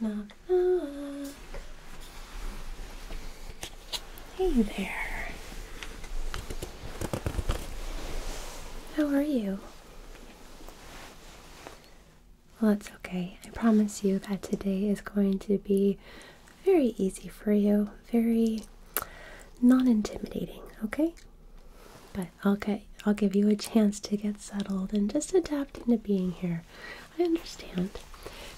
Knock, knock. Hey there. How are you? Well, that's okay. I promise you that today is going to be very easy for you, very non-intimidating, okay? But I'll get I'll give you a chance to get settled and just adapt into being here. I understand.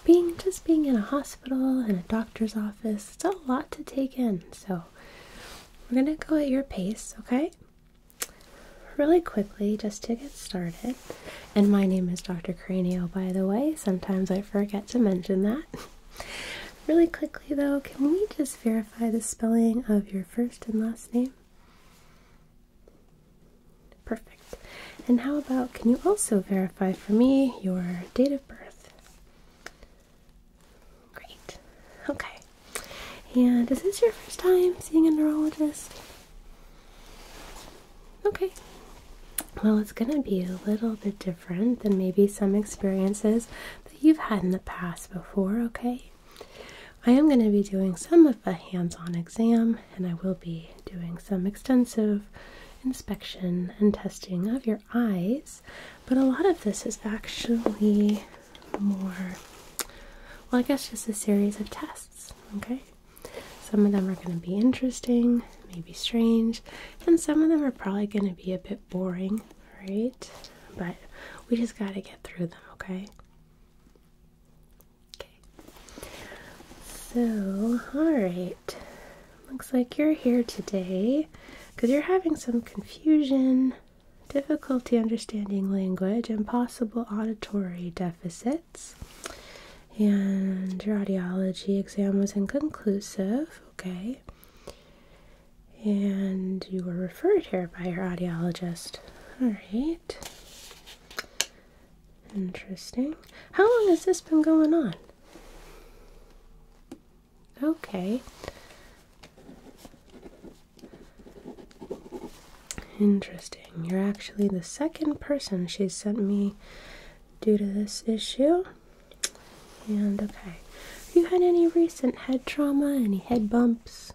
Being just being in a hospital and a doctor's office, it's a lot to take in. So we're gonna go at your pace, okay? Really quickly, just to get started. And my name is Dr. Cranio, by the way. Sometimes I forget to mention that. really quickly, though, can we just verify the spelling of your first and last name? Perfect. And how about can you also verify for me your date of birth? Great. Okay. And is this your first time seeing a neurologist? Okay. Well, it's going to be a little bit different than maybe some experiences that you've had in the past before, okay? I am going to be doing some of a hands on exam, and I will be doing some extensive inspection and testing of your eyes, but a lot of this is actually more, well, I guess just a series of tests, okay? Some of them are going to be interesting, maybe strange, and some of them are probably going to be a bit boring, right? But we just got to get through them, okay? Okay. So, alright. Looks like you're here today because you're having some confusion, difficulty understanding language, and possible auditory deficits and your audiology exam was inconclusive, okay? And you were referred here by your audiologist. All right. Interesting. How long has this been going on? Okay. Interesting. You're actually the second person she's sent me due to this issue. And okay, have you had any recent head trauma, any head bumps?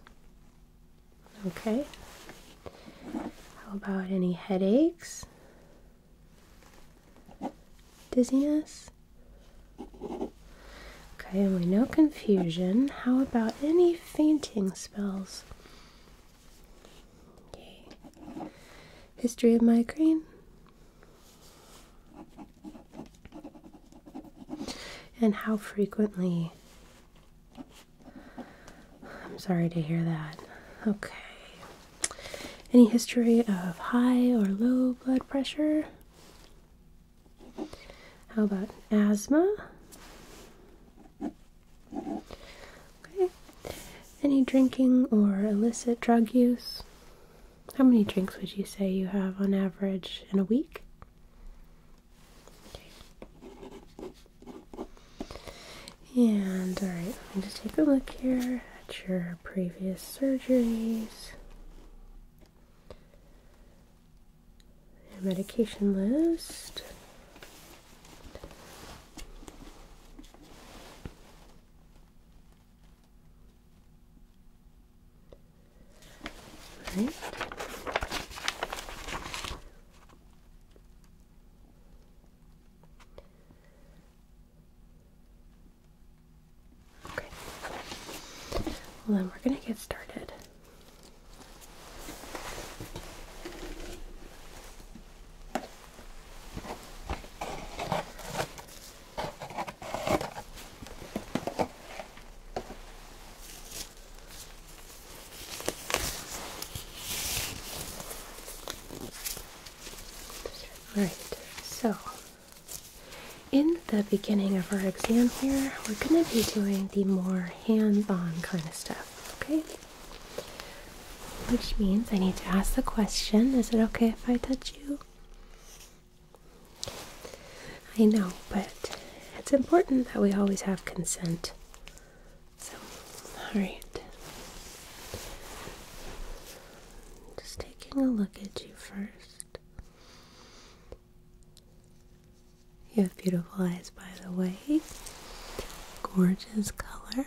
Okay. How about any headaches? Dizziness? Okay, and no confusion. How about any fainting spells? Yay. History of migraine. And how frequently. I'm sorry to hear that. Okay. Any history of high or low blood pressure? How about asthma? Okay. Any drinking or illicit drug use? How many drinks would you say you have on average in a week? Okay. And alright, let me just take a look here at your previous surgeries. Your medication list. Right. Okay. Well, then we're going to get started. All right, so in the beginning of our exam here, we're going to be doing the more hands-on kind of stuff, okay? Which means I need to ask the question Is it okay if I touch you? I know, but it's important that we always have consent. So, alright. Just taking a look at you first. You have beautiful eyes, by the way. Gorgeous color.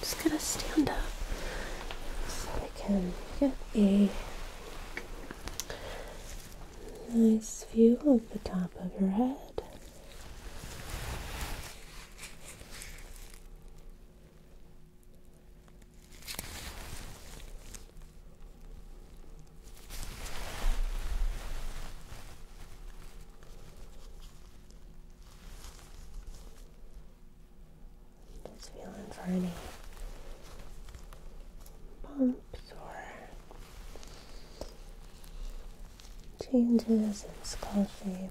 Just gonna stand up so I can get a nice view of the top of your head. Just feeling for any bumps or changes in skull shape.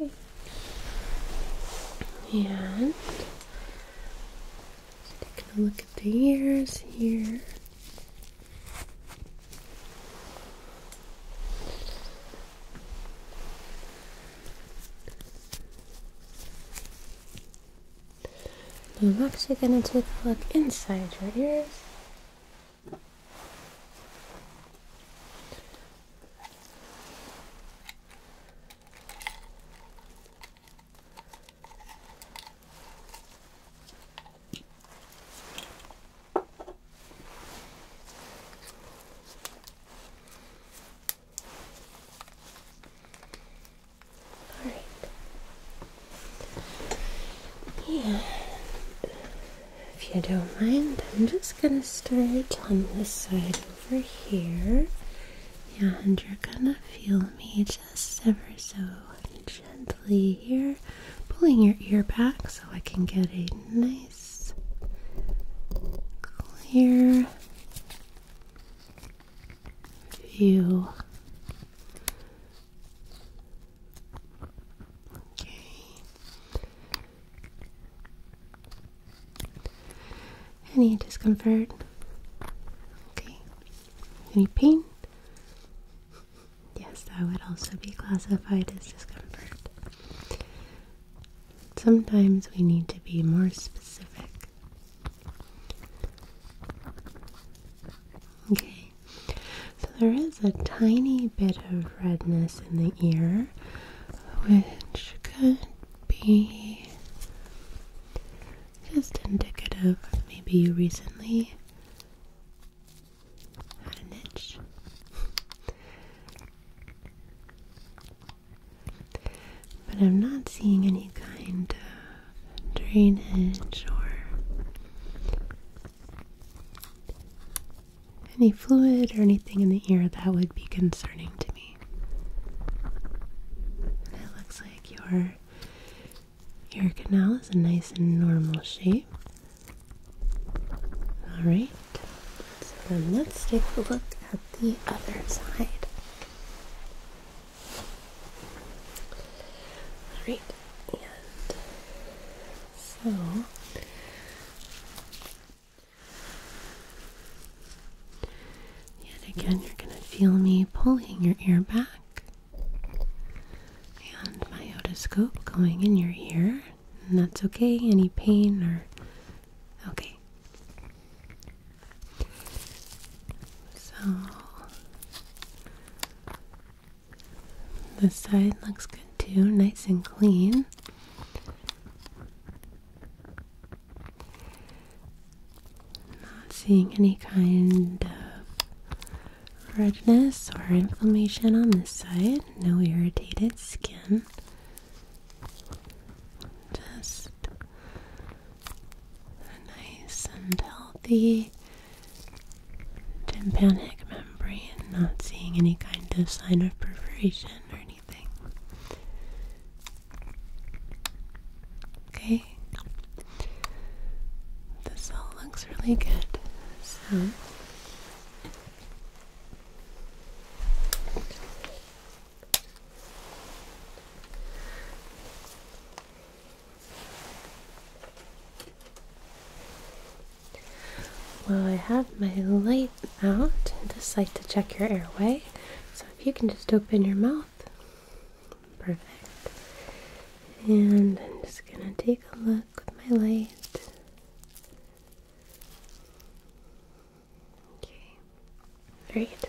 Okay. And taking a look at the ears here. I'm actually going to take a look inside your ears. All right. And if you don't mind, I'm just gonna start on this side over here. and you're gonna feel me just ever so gently here, pulling your ear back so I can get a nice, clear view. Okay. Any discomfort? Okay. Any pain? Yes, that would also be classified as discomfort. Sometimes we need to be more specific. Okay, so there is a tiny bit of redness in the ear, which could be just indicative maybe you recently had an itch. But I'm not seeing any kind of drainage or any fluid or anything in the ear that would be concerning to me. it looks like your ear canal is a nice and normal shape. Alright, so then let's take a look at the other side. Alright, and so Yet again, you're going to feel me pulling your ear back and my otoscope going in your ear. And that's okay, any pain or. Okay. So. This side looks good too, nice and clean. Not seeing any kind of redness or inflammation on this side, no irritated skin. Just nice and healthy tympanic memory not seeing any kind of sign of perforation or anything. Okay. This all looks really good. So well, I have my light out, Just like to check your airway. So if you can just open your mouth, perfect. And I'm just gonna take a look with my light. Okay, great.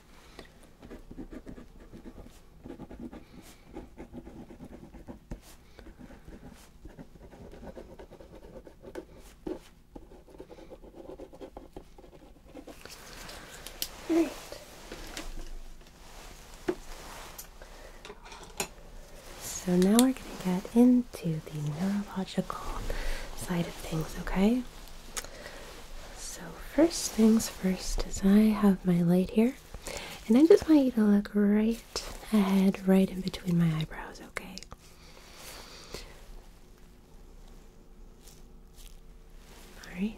So now we're going to get into the neurological side of things, okay? So, first things first is I have my light here, and I just want you to look right ahead, right in between my eyebrows, okay? Alright.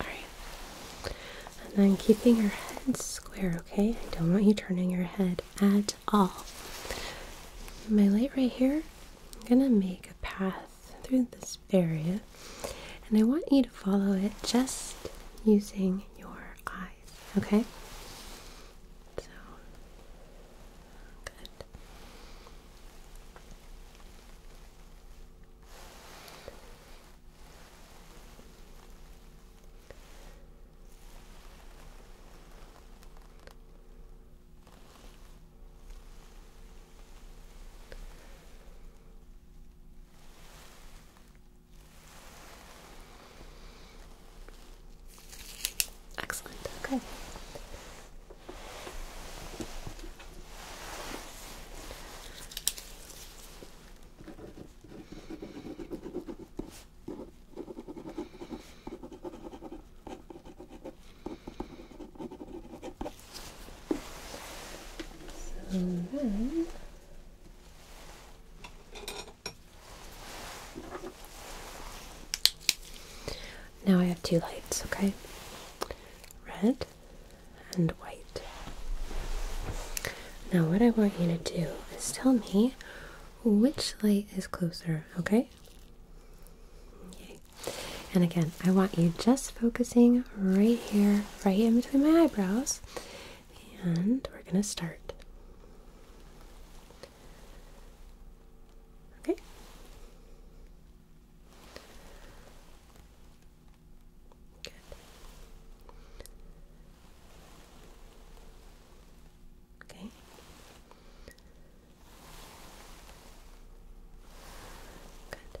Alright. And then keeping your head square, okay? I don't want you turning your head at all. My light right here, I'm gonna make a path through this area, and I want you to follow it just using your eyes, okay? So, good. Excellent. Okay. So then now I have two lights, okay? Red and white. Now, what I want you to do is tell me which light is closer, okay? Okay. And again, I want you just focusing right here, right in between my eyebrows. And we're going to start. Okay. Good. Okay. Good.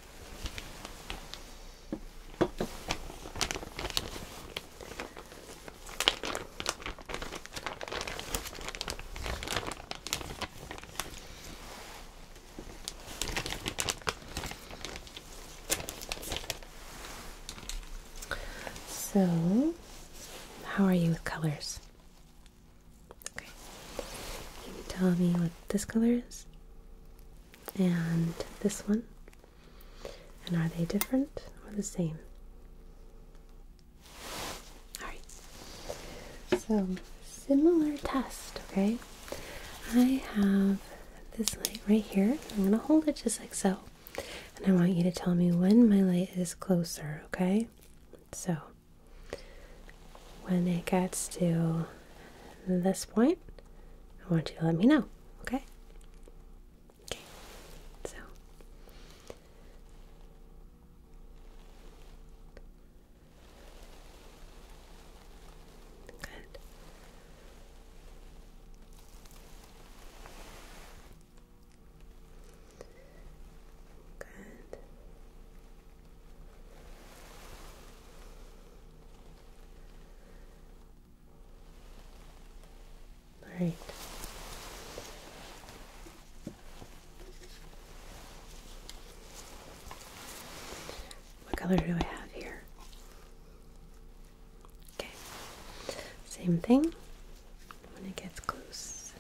So, how are you with colors? Okay. Can you tell me what this color is? and this one? And are they different or the same? Alright, so similar test, okay? I have this light right here. I'm going to hold it just like so. And I want you to tell me when my light is closer, okay? So, when it gets to this point, I want you to let me know, okay? Okay, so good. Good. All right. What color do I have here? Okay. Same thing when it gets close.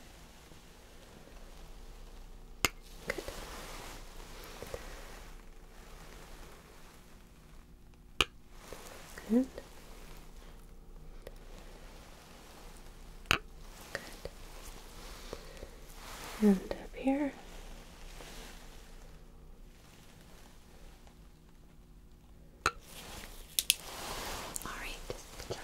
Good. Good. Good. And up here. All right.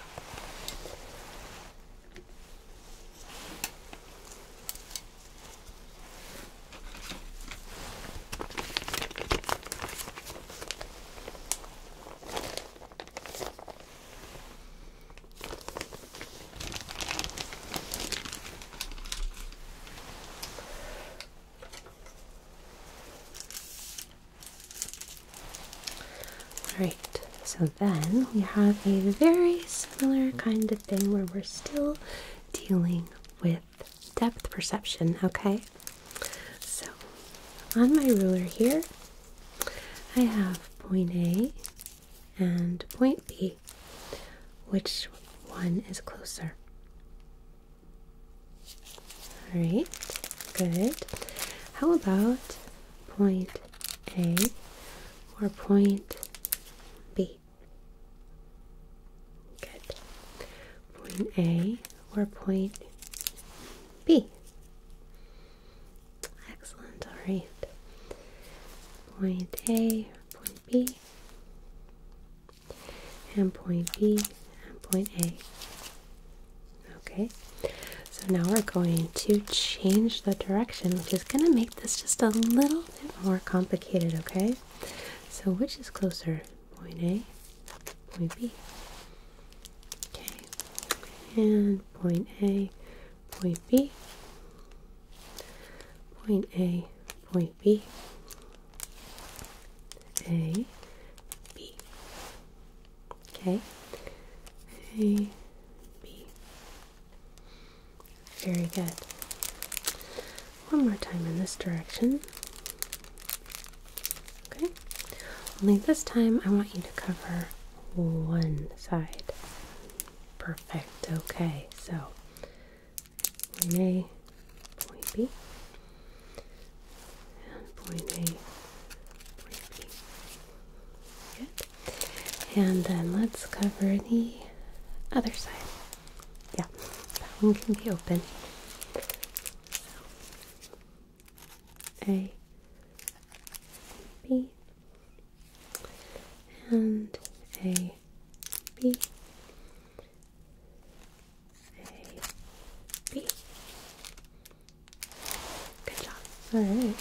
Alright, so then we have a very similar kind of thing where we're still dealing with depth perception, okay? So, on my ruler here, I have point A and point B. Which one is closer? All right, good. How about point A or point B? Good. Point A or point B. Excellent. All right. Point A, point B, and point B, and point A. Okay. So now we're going to change the direction, which is going to make this just a little little more complicated, okay? So, which is closer, point A, point B? Okay, and point A, point B, point A, point B, A, B. Okay, A, B, very good. One more time in this direction. Okay. Only this time I want you to cover one side. Perfect. Okay. So point A, point B, and point A, point B. Good. And then let's cover the other side yeah, that one can be open. A, B, and A, B, A, B. Good job. All right.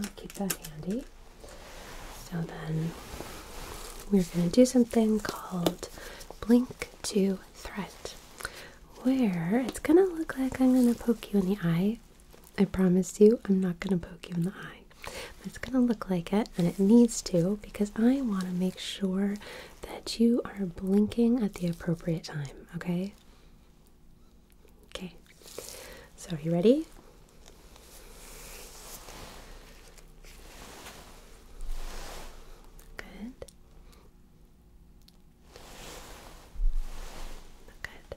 I'll keep that handy. So then we're going to do something called blink to threat, where it's going to look like I'm going to poke you in the eye. I promise you, I'm not going to poke you in the eye. But it's going to look like it, and it needs to because I want to make sure that you are blinking at the appropriate time, okay? Okay, so are you ready? Good. Good.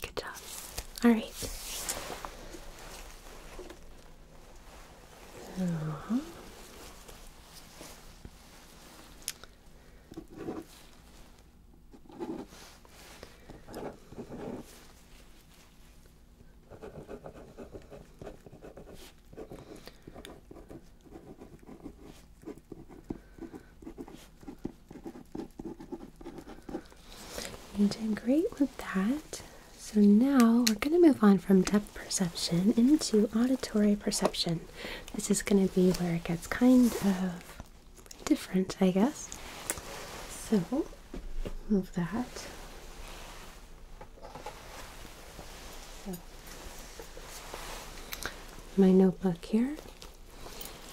Good job. All right. So. You did great with that. So now we're going to move on from depth perception into auditory perception. This is going to be where it gets kind of different, I guess. So move that my notebook here,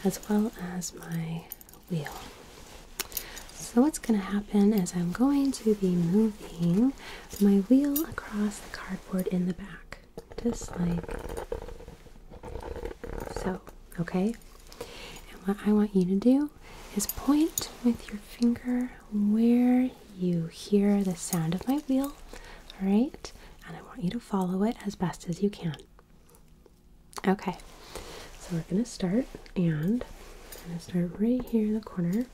as well as my wheel. So, what's going to happen is I'm going to be moving my wheel across the cardboard in the back, just like so. Okay? And what I want you to do is point with your finger where you hear the sound of my wheel, all right? And I want you to follow it as best as you can. Okay, so we're going to start, and I'm going to start right here in the corner.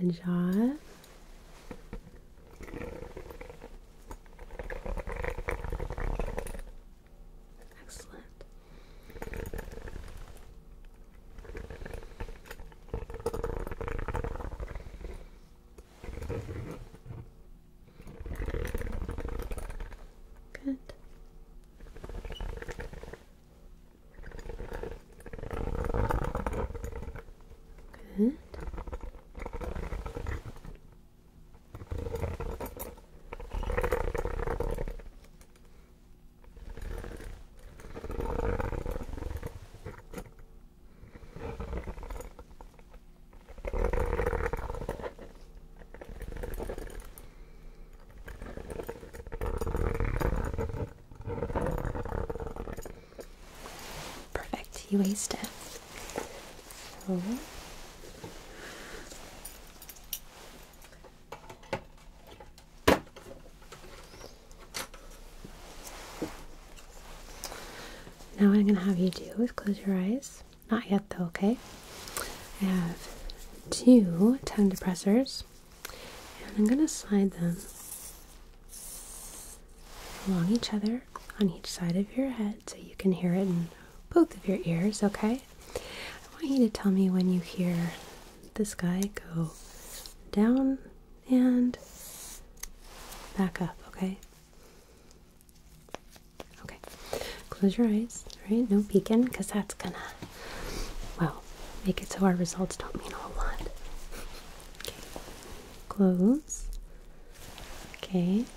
Good job. Excellent. Good. Good. Perfect, you aced it. Uh-huh. now what I'm going to have you do is close your eyes. Not yet though, okay? I have two tongue depressors and I'm going to slide them along each other on each side of your head so you can hear it in both of your ears, okay? I want you to tell me when you hear this guy go down and back up, okay? Okay, close your eyes, Right. No peeking, because that's gonna, well, make it so our results don't mean a whole lot. Okay, close. Okay,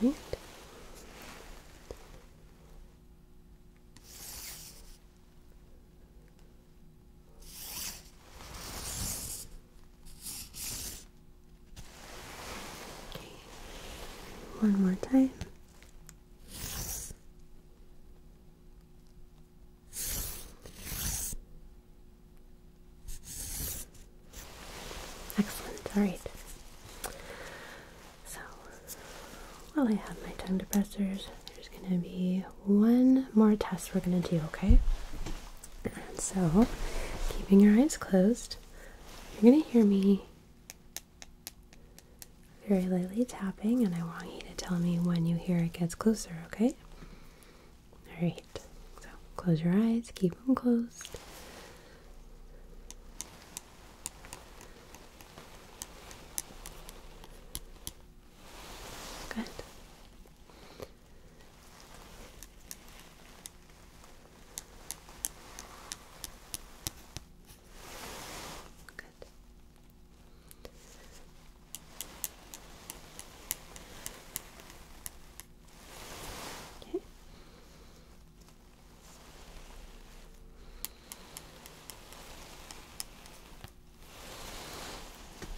Good. All right one more time. Excellent, alright. So, while I have my tongue depressors, there's gonna be one more test we're gonna do, okay? so, keeping your eyes closed, you're going to hear me very lightly tapping, and I want you to tell me when you hear it gets closer, okay? Alright, so close your eyes, keep them closed. Good. Good.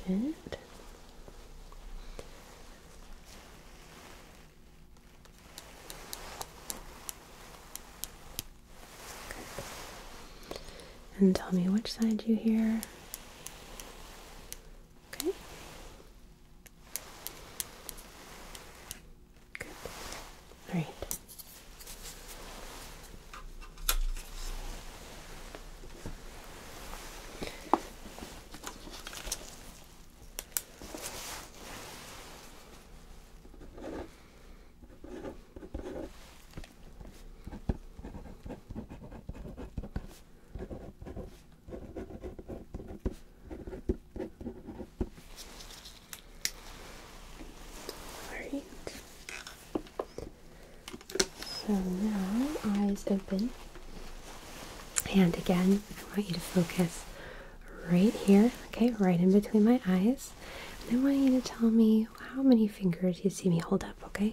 Okay. Good. And tell me which side you hear. Okay. Good. All right. Alright. So now eyes open. And again, I want you to focus right here, okay, right in between my eyes. And I want you to tell me how many fingers you see me hold up, Okay.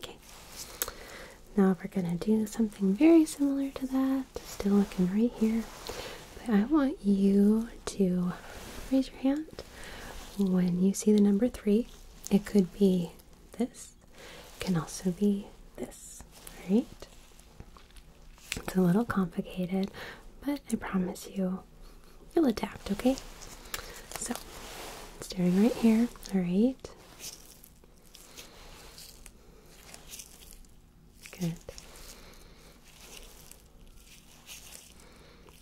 Okay, now we're going to do something very similar to that. Still looking right here, but I want you to raise your hand when you see the number three. It could be this, can also be this. Right? it's a little complicated, but I promise you You'll adapt, okay? So staring right here, alright. Good.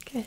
Good. Good.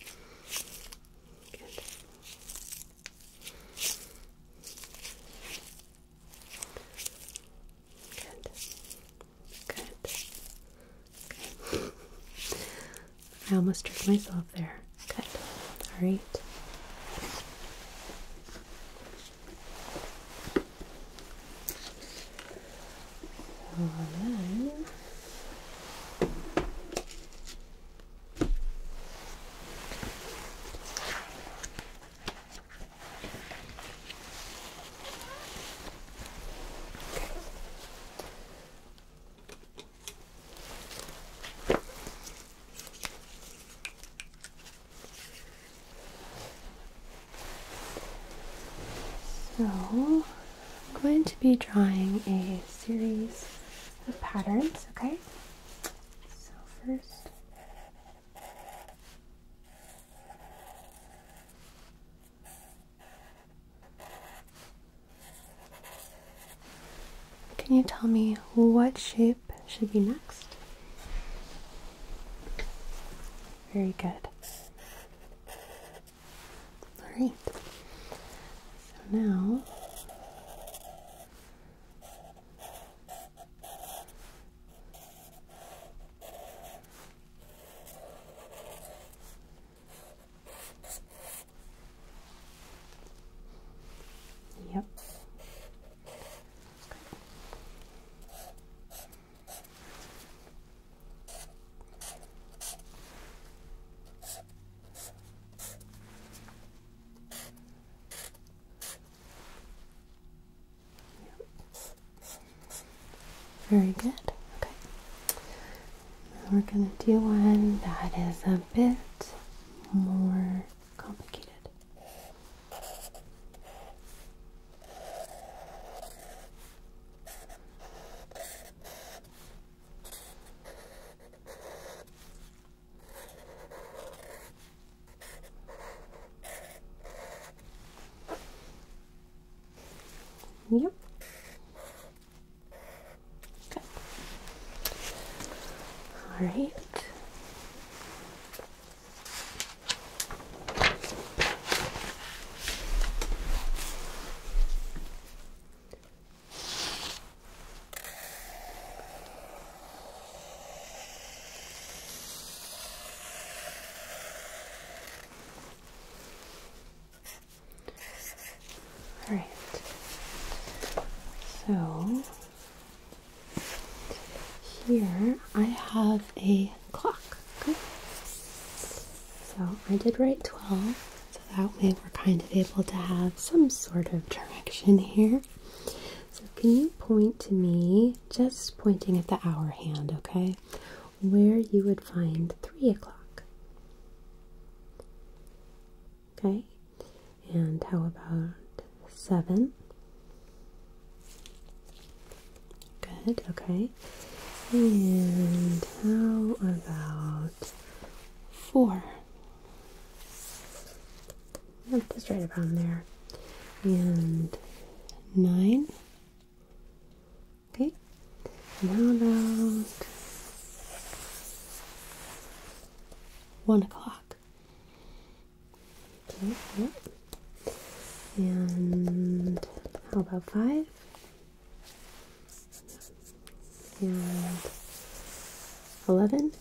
Good. Good. Good. Good. I almost tricked myself there. Good. All right. And So I'm going to be drawing a series of patterns, okay? So, first, can you tell me what shape should be next? Very good. All right. So now Yep. Very good. Okay. we're going to do one that is a bit more complicated. Yep. Good. All right. All right. So here I have a clock. So I did write 12, so that way we're kind of able to have some sort of direction here. So can you point to me, just pointing at the hour hand, okay, where you would find 3 o'clock? Okay, and how about 7? Good, okay. And how about four? Yep, oh, just right around there. And nine. Okay. And how about one o'clock? Okay, yep. And how about five? And 11?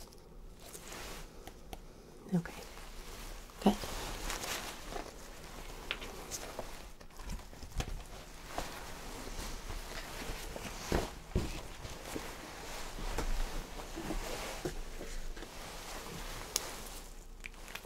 Okay. Good.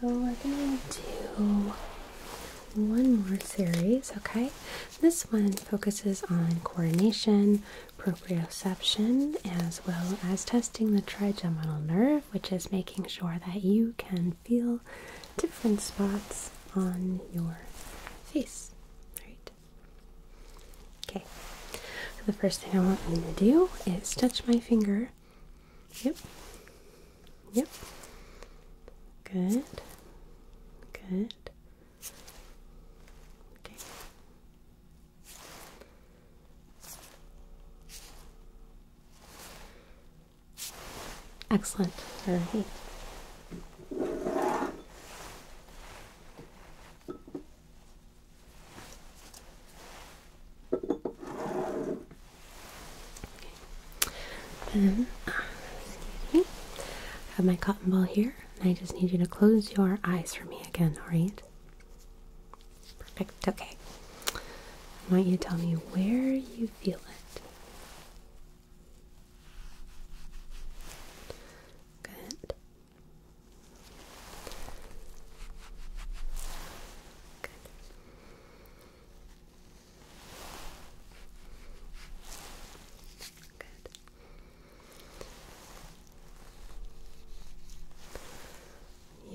So we're gonna do one more series, okay? This one focuses on coordination, proprioception, as well as testing the trigeminal nerve, which is making sure that you can feel different spots on your face. Right. Okay. the first thing I want you to do is touch my finger Yep. Yep. Good. Good. Okay. Excellent. All right. Okay. And, ah, excuse me. I have my cotton ball here, and I just need you to close your eyes for me again, alright? Perfect, okay. I want you to tell me where you feel it. Good. Good.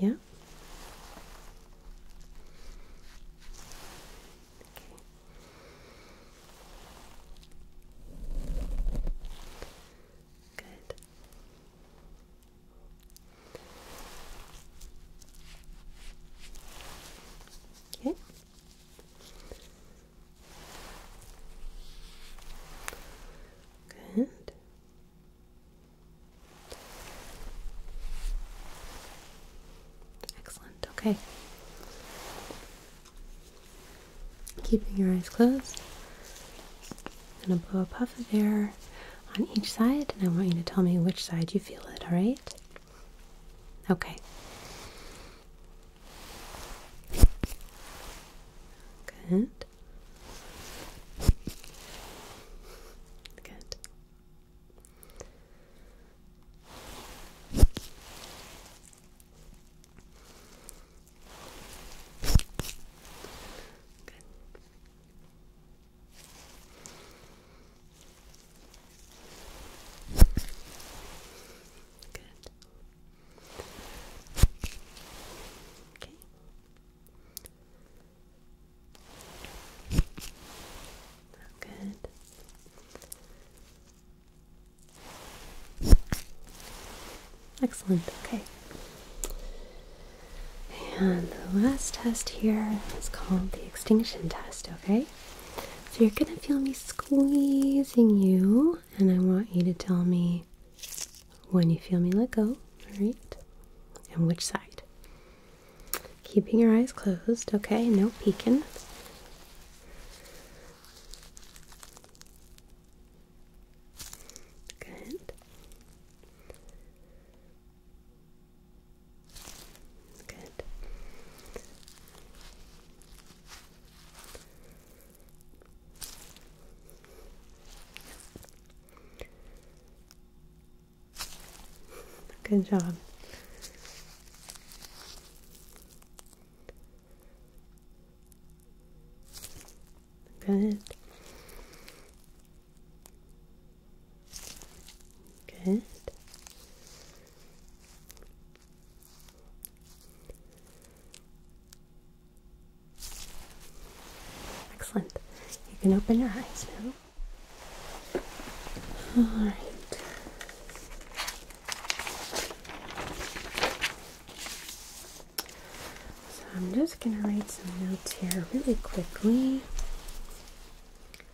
Good. Yeah. Okay. Good. Okay. Good. Excellent. Okay. Keeping your eyes closed. I'm gonna blow a puff of air on each side, and I want you to tell me which side you feel it, alright? Okay. Good. Good. Good. Good. Okay. Good. Excellent. Okay. And the last test here is called the extinction test, okay? So you're gonna feel me squeezing you, and I want you to tell me when you feel me let go, alright? And which side. Keeping your eyes closed, okay? No peeking. Good. Good. Good job. Good. Good. Excellent. You can open your eyes now. All right. So I'm just going to write some notes here really quickly.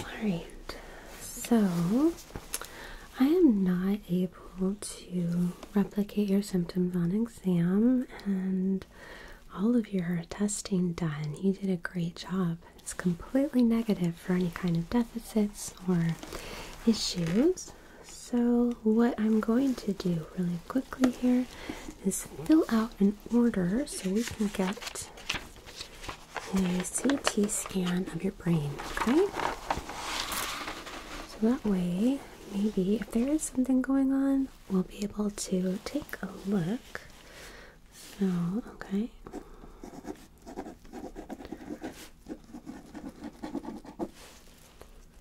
Alright, so I am not able to replicate your symptoms on exam, and all of your testing done. You did a great job. It's completely negative for any kind of deficits or issues. So, what I'm going to do really quickly here is fill out an order so we can get a CT scan of your brain, okay? So that way, maybe if there is something going on, we'll be able to take a look. So, okay.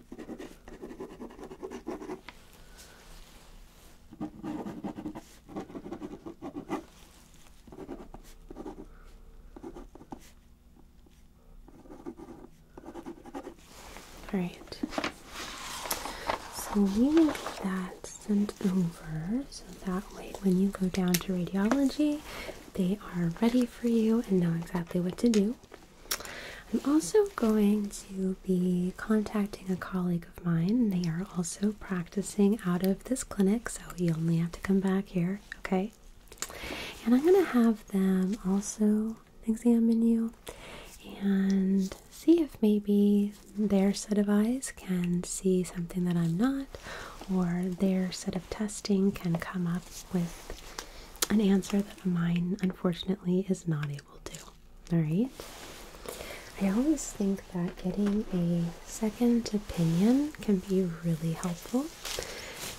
All right. So we will get that sent over so that way when you go down to radiology, they are ready for you and know exactly what to do. I'm also going to be contacting a colleague of mine. They are also practicing out of this clinic, so you only have to come back here, okay? And I'm going to have them also examine you and see if maybe their set of eyes can see something that I'm not, or their set of testing can come up with an answer that mine unfortunately is not will do. Alright? I always think that getting a second opinion can be really helpful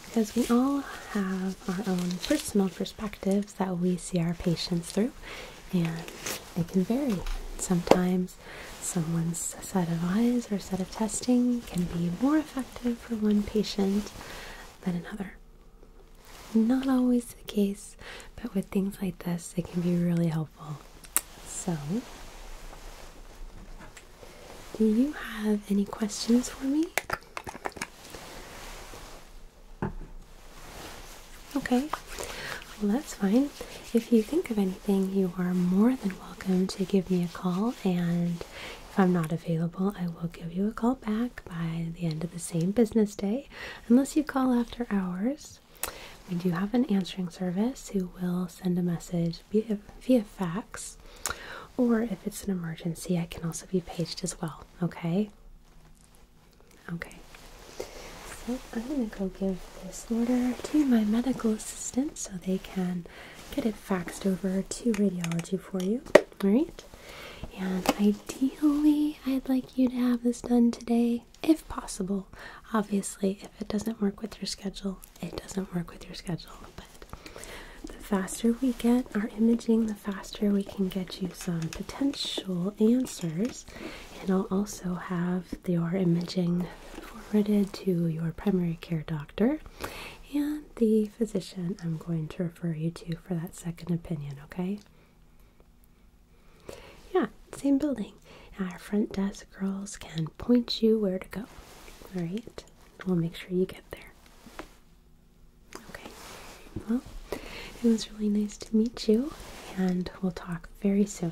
because we all have our own personal perspectives that we see our patients through, and it can vary. Sometimes someone's set of eyes or set of testing can be more effective for one patient than another. Not always the case, but with things like this, it can be really helpful. So, do you have any questions for me? Okay, well, that's fine. If you think of anything, you are more than welcome to give me a call. And if I'm not available, I will give you a call back by the end of the same business day unless you call after hours. We do have an answering service who will send a message via fax, or if it's an emergency, I can also be paged as well. Okay? Okay. So I'm going to go give this order to my medical assistant so they can get it faxed over to radiology for you. All right? And ideally, I'd like you to have this done today, if possible. Obviously, if it doesn't work with your schedule, it doesn't work with your schedule. But the faster we get our imaging, the faster we can get you some potential answers. And I'll also have your imaging forwarded to your primary care doctor and the physician I'm going to refer you to for that second opinion, okay? Yeah, same building. Our front desk girls can point you where to go. All right, we'll make sure you get there. Okay, well, it was really nice to meet you, and we'll talk very soon.